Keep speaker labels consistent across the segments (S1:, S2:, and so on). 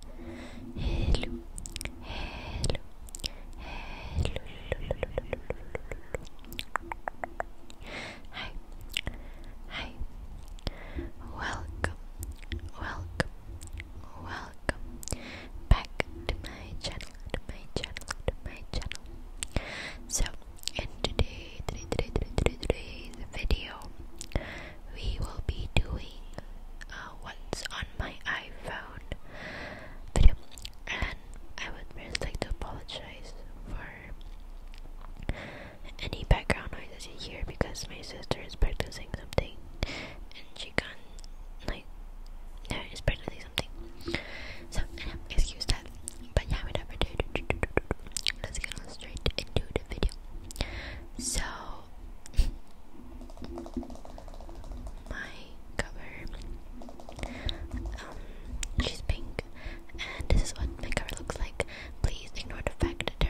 S1: Hello, hello, hello. Hi, hi. Welcome, welcome, welcome back to my channel, to my channel, to my channel. So, in today, today, today, today, today's video, we will be doing uh, what's on my iPhone video. And I would really like to apologize for any background noise you hear because my sister is practicing something and she can like, yeah, is practicing something. So, excuse that. But yeah, without further ado, let's get straight into the video. So, my cover. Um, she's pink, and this is what my cover looks like. Please ignore the fact that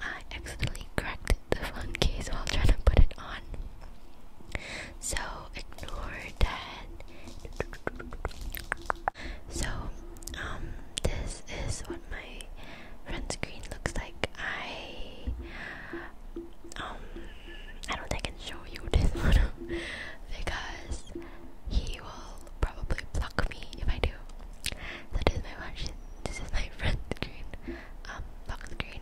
S1: I accidentally cracked the phone case while trying to put it on, so ignore that. So, um, this is what my front screen looks like I um I don't think I can show you this one because he will probably block me if I do. So this is my watch this is my front screen um lock screen.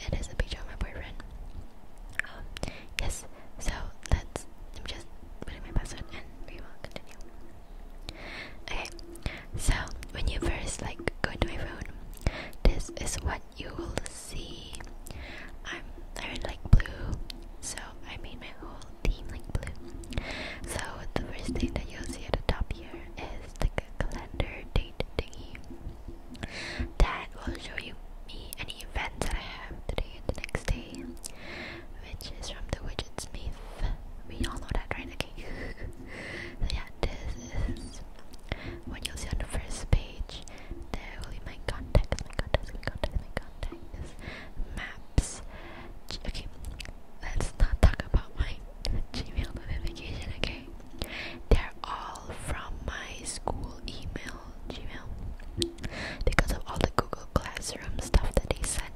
S1: It is a picture of my boyfriend. Um yes, so let's let me just putting my password and we will continue. Okay, so when you first like go to my phone, this is what you will see. I'm I really like blue, so I made my whole theme like blue. So the first thing that you'll see at the top here is the calendar date thingy that will show you me any events that I have today and the next day which is from the Widget Smith. We all know that, right? Okay. so yeah, this is what you'll see on the first page. There will be my contacts, my contacts, my contacts, my contacts, maps. Okay, let's not talk about my Gmail notification, okay? They're all from my school email, Gmail. Because of all the Google Classroom stuff that they send,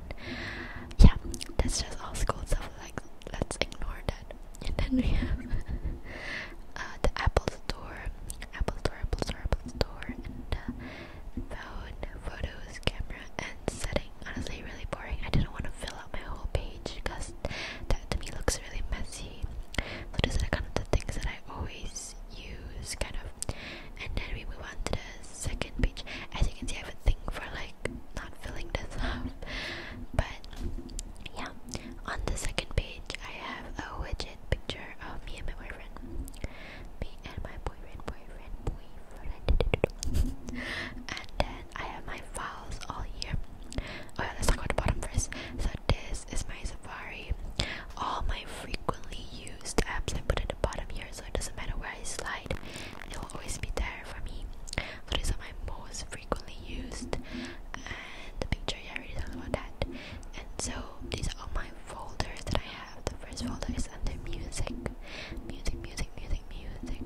S1: yeah, that's just all school stuff. Like, let's ignore that. And then we have uh, the Apple Store, Apple Store, Apple Store, Apple Store, and the uh, phone, photos, camera, and setting. Honestly, really boring. I didn't want to fill out my whole page because that to me looks really messy. So these are kind of the things that I always use, kind of and then we move on to the second page. As you can see, I have a thing for like not filling this up, but yeah. On the second page, I have a widget picture of me and my boyfriend, me and my boyfriend, boyfriend, boyfriend, and then I have my files all here. Oh, yeah, let's talk about the bottom first. So this is my Safari. All my frequently used apps I put at the bottom here so it doesn't matter where I slide, it'll always be there for me. these are my most frequently used, and the picture, yeah, about that. And so these are my folders that I have. The first folder is under music, music, music, music, music.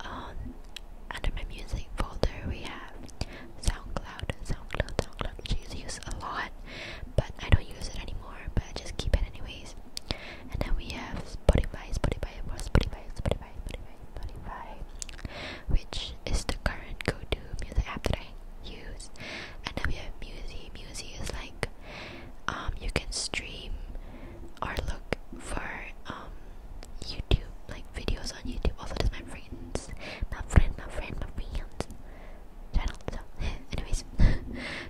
S1: Um, under my music folder, we have SoundCloud, SoundCloud, SoundCloud, which I a lot, but I don't use it anymore, but just keep it anyways. And then we have Spotify, Spotify, Spotify, Spotify, Spotify, Spotify, which is the current go-to music app that I use. And then we have Musi. Musi is like um, you can stream or look for um, YouTube like videos on YouTube. Also, there's my friends, my friend, my friend, my friends. So, anyways,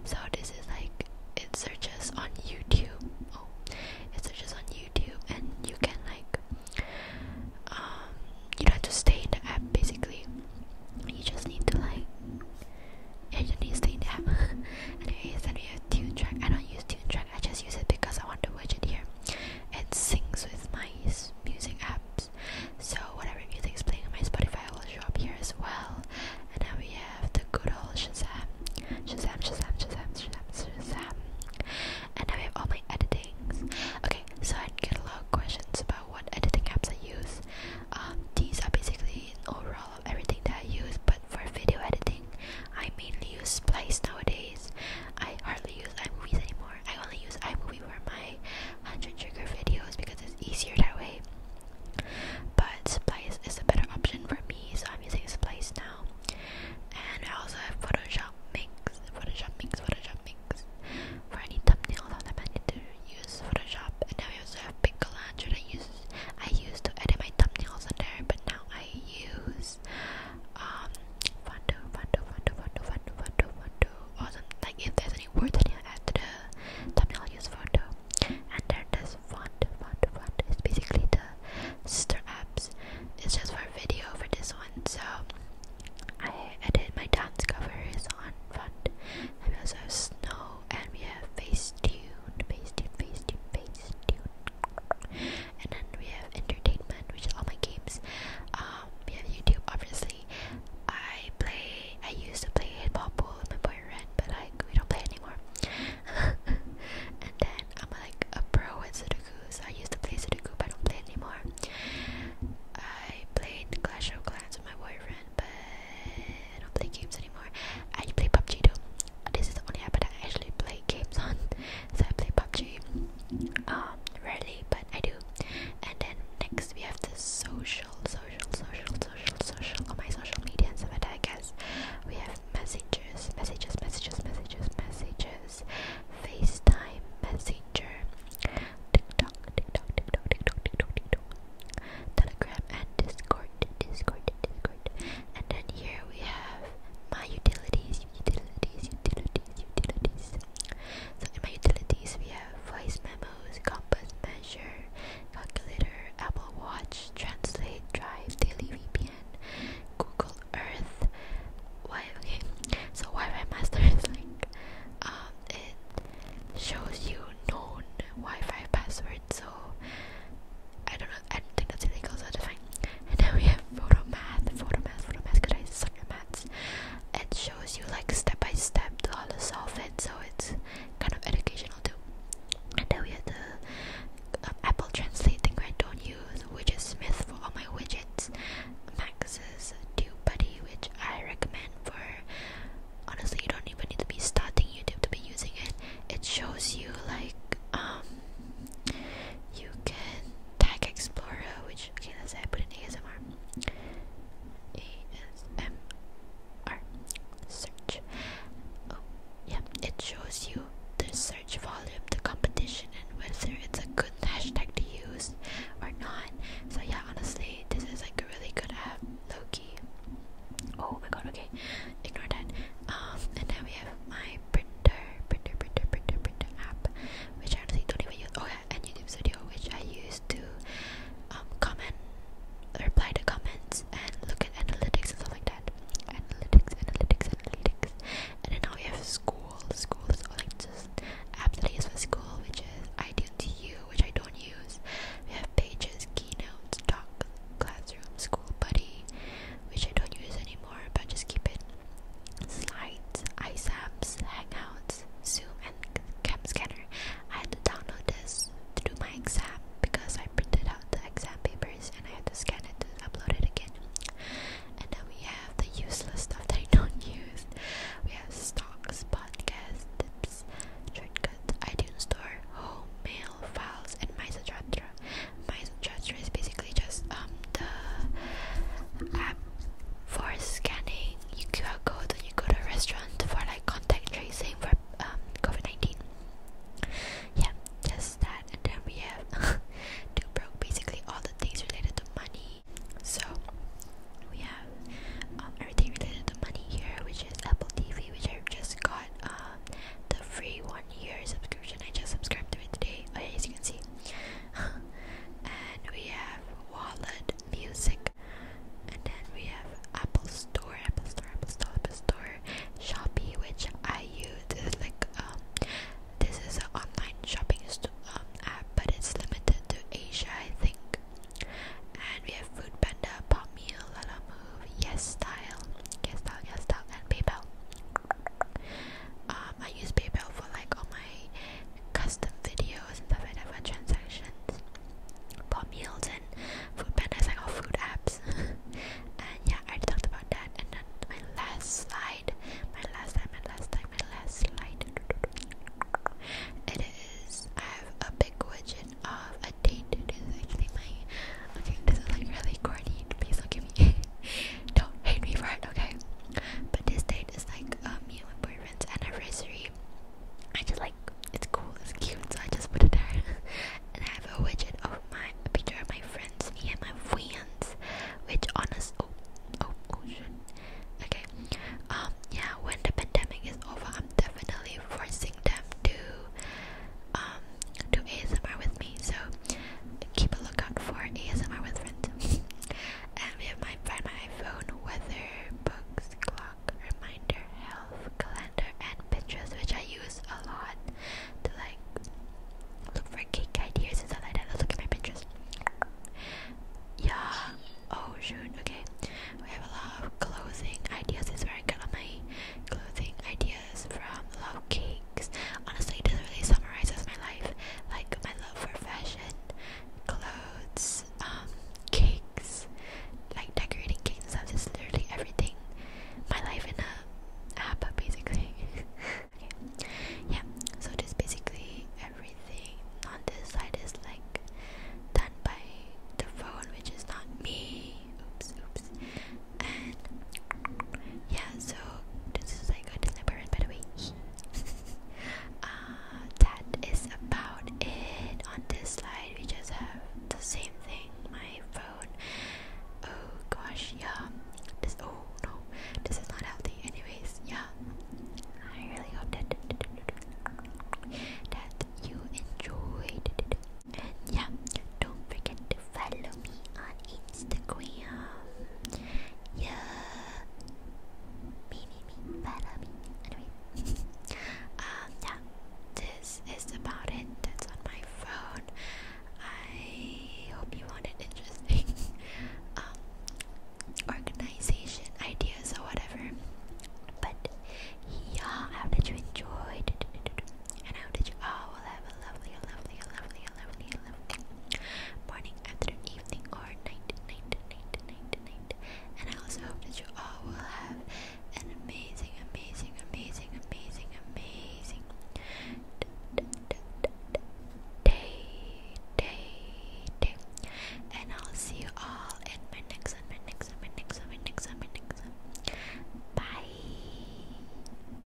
S1: so this is like it searches on YouTube. Oh, it searches on YouTube, and you can like um you don't have to stay in the app basically. You just need to like and you need to stay in the app. anyways, then we have tune track. I don't use tune track. I just use it because I want to watch it here. It syncs with my music app platforms. So whatever music's playing on my Spotify will show up here as well. And now we have the good old Shazam, Shazam, Shazam, Shazam, Shazam, Shazam. And now we have all my editings. Okay, so I get a lot of questions about what editing apps I use. Um, these are basically an overall of everything that I use, but for video editing, I mainly use Splice nowadays. I hardly use iMovies anymore. I only use iMovie for my 100 trigger videos because it's easier that way. But Splice is a better option for me, so I'm using Splice now. And I also have Photoshop Mix, Photoshop Mix, Photoshop Mix for any thumbnails that I need to use Photoshop. And then I also have Piccolange that I use I used to edit my thumbnails on there, but now I use um Fondo, Fondo, Fondo, Fondo, Fondo, Fondo, Fondo, awesome. like if there's we're doing you add the thumbnail use photo and then this font font font is basically the sister apps it's just for video for this one so I edit my dance covers on font and we have snow and we have Facetune Facetune Facetune Facetune and then we have entertainment which is all my games um, we have YouTube obviously I play. I used to play hip hop pool with my boyfriend, but like we don't play anymore. and then I'm like a pro at Sudoku, I used to play Sudoku, but I don't play anymore. I played Clash of Clans with my boyfriend, but don't play games anymore. I play PUBG too. This is the only app that I actually play games on. So I play PUBG. Um, rarely, but but I do. And then next we have the social, social, social, social, social, on my social media and stuff like that, I guess. We have messages, messages, messages, messages, messages, FaceTime, Messenger, TikTok, TikTok, TikTok, TikTok, TikTok, TikTok, Telegram, and Discord, Discord, Discord. And then here we have my utilities, utilities, utilities, utilities. So in my utilities we have voice memos, compass measure, calculator, Apple Watch, Translate, Drive, Daily VPN, Google Earth. Why? Okay, so Wi-Fi Master is like, um, it shows you known Wi-Fi passwords. So I don't know. I don't think that's illegal, so that's fine. And now we have photomath, photomath, photomath. math, photo I suck at maths it shows you like step by step to how to solve it, so it's kind of educational too. And then we have the um, Apple Translate thing I don't use, which is Smith for all my widgets. Max's Buddy, which I recommend for honestly, you don't even need to be starting YouTube to be using it. It shows you like um you can tag Explorer, which Okay, let's it. I put in ASMR. ASMR. Search. Oh, yeah. It shows you the search volume, the competition, and whether it's a good hashtag to use or not. So, yeah, honestly, this is like a really good app. Low key. Oh my god, okay. Ignore that. Um, and then we have my printer, printer, printer, printer, printer app, which I honestly don't even use. Oh, yeah and YouTube Studio, which I use to um, comment, reply to comments, and look at analytics and stuff like that. Analytics, analytics, analytics. And then now we have school. School is all like just apps that I use for school, which is iTunes U, which I don't use. We have pages, keynotes, docs, classroom, school buddy, which I don't use anymore, but just keep it slides, iSAPs, Hangouts, Zoom, and Cam Scanner. I had to download this to do my exam because I printed out the exam papers and I had to scan it to upload it again. And then we have the useless stuff that I don't use. We have stocks, podcasts, tips, shortcuts, iTunes Store, home, mail, files, and MySatra. MySatra is basically just um the app for scanning your QR code when you go to a restaurant for like contact tracing for um COVID nineteen. Yeah, just that, and then we have two broke basically all the things related to money. So we have um, everything related to money here, which is Apple TV, which I've just got uh, the free one year subscription. I just subscribed to it today, as you can see. and we have wallet music and then we have apple store apple store apple store apple store shopee which i use this is like um this is an online shopping um, app but it's limited to asia i think and we have food panda pop meal lala move yes style yes style yes style and paypal um, I use PayPal for like all my custom videos and stuff like that for transactions, for meals and food pandas, like all food apps. and yeah, I talked about that. And then my last slide, my last slide, my last slide, my last slide. It is I have a big widget of a date. This is actually my okay. This is like really corny. Please don't me. Don't hate me right? okay? But this date is like um, me and my boyfriend's anniversary. I just like it's cool, it's cute, so I just put it there. and I have a widget of my picture of my friends, me and my friends, which honest oh oh oh Okay. Um yeah, when the pandemic is over I'm definitely forcing them to um do ASMR with me. So keep a lookout for ASMR with friends. and we have my find my iPhone, weather, books, clock, reminder, health, calendar, and pictures, which I use a lot to like look for cake ideas and stuff like that. Let's look at my pictures. Yeah. Oh shoot. Okay. We have a lot of clothing ideas. This is where I got all my clothing ideas from. Love cake. Honestly, it doesn't really summarize my life. Like my love for fashion, clothes, um, cakes, like decorating cakes and stuff. Just literally everything. My life in a app, basically. Yeah. So just basically everything on this side is like done by the phone, which is not me. Oops. Oops. And yeah. So this is like a deliberate by the way. uh, that is about it on this slide. We just have the same thing. My phone. Oh gosh, yeah. This oh no, this is not healthy. Anyways, yeah. I really hope that you enjoyed it. And yeah, don't forget to follow me on Instagram. Yeah. Me, me, me, better me. Anyway. um, yeah. This is about it. That's on my phone. I hope you found it interesting. um, organization ideas or whatever. But yeah, I hope you enjoyed. And I hope that you all oh, will have a lovely, a lovely, a lovely, morning, afternoon, evening, or night, night, night, night, night. And I also hope that you all will have an amazing, amazing, amazing, amazing, amazing day, And I'll see you all in my next one, my next my next my next my next Bye.